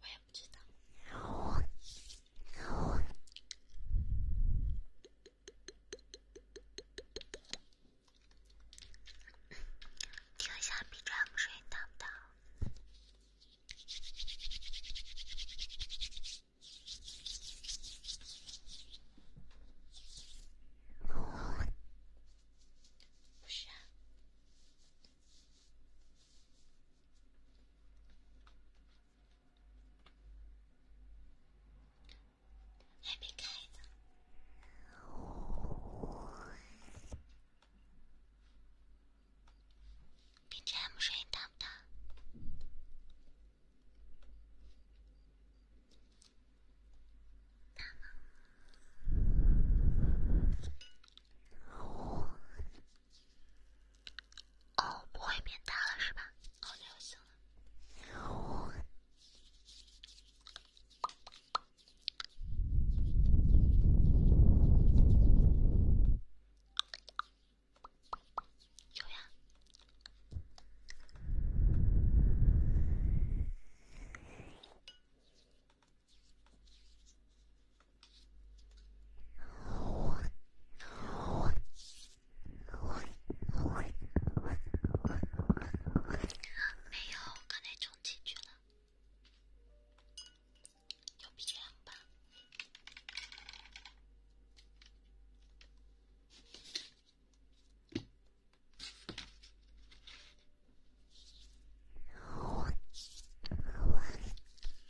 我也不知道。听一下 BGM 声音大不大？不是。还没开呢。BGM 声音大不大？大吗？哦，不会变大了是吧？哦，那就行了。有呀。没有，刚才充进去了，就比这样吧。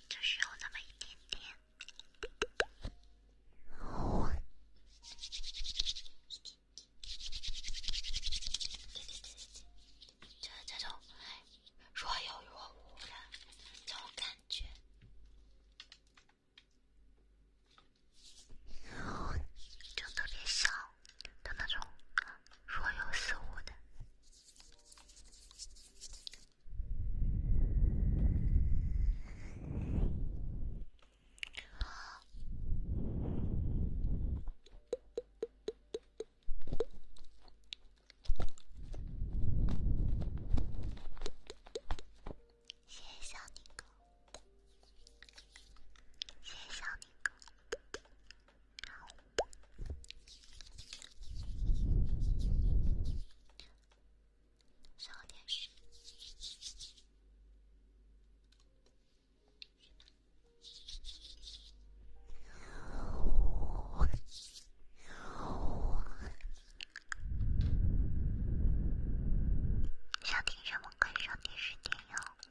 就是有那么一点点，这这种若有若无的这种感觉，就特别像的那种若有似无的。谢谢小宁哥，谢谢小宁哥。上电视，想听什么？可以上电视听哟。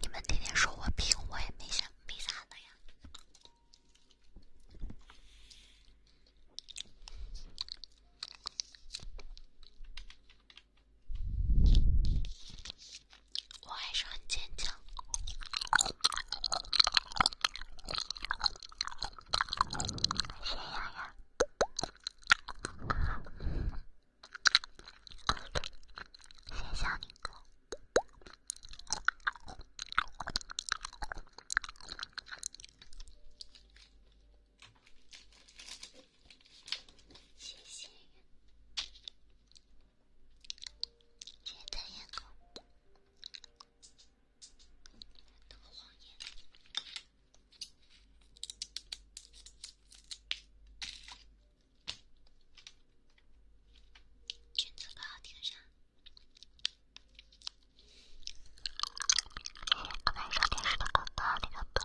你们天天说我平，我也没想，没啥的呀。我还是很坚强。谁呀呀？谁想你了？谢谢，谢谢糖果，糖果爷爷，裙子不好听上，刚才上电视的广告那个的。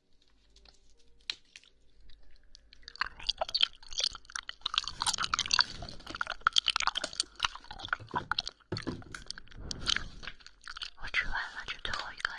我吃完了，这最后一个了。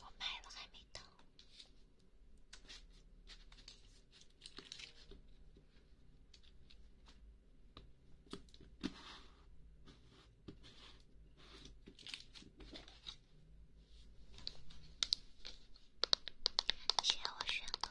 我买了，还没到。谢我帅哥。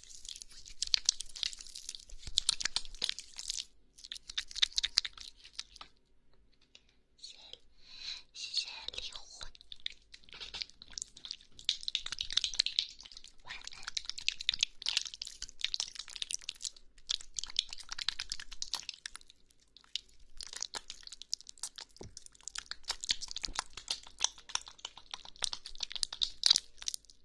谢谢离婚，晚安。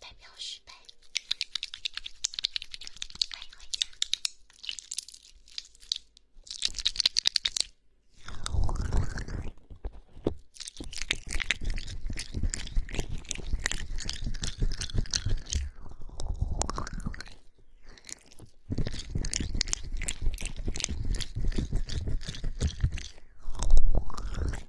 代表失败。Thank you.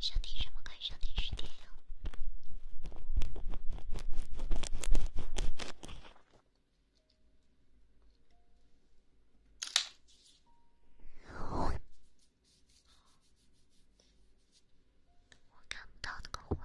上电视吗？上电视点呀。我看不到那个活动。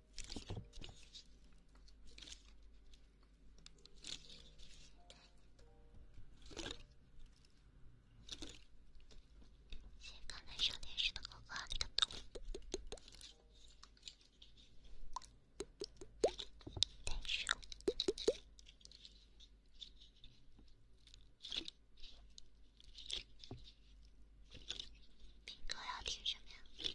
谢刚才收电视的哥哥，你个懂。单手。兵哥要听什么呀？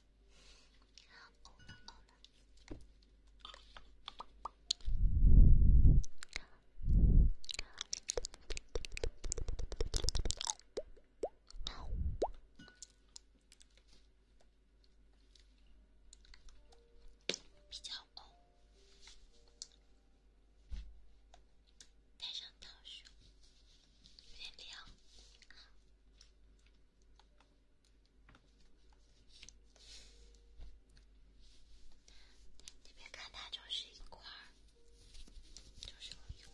比较哦，戴上套数，有点凉。你别看它就是一块就是一块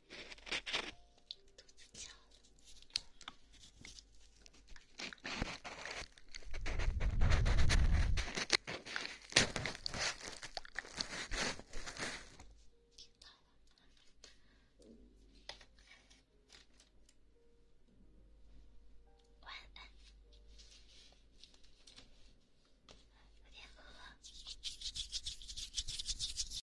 听到了，晚安。有点饿。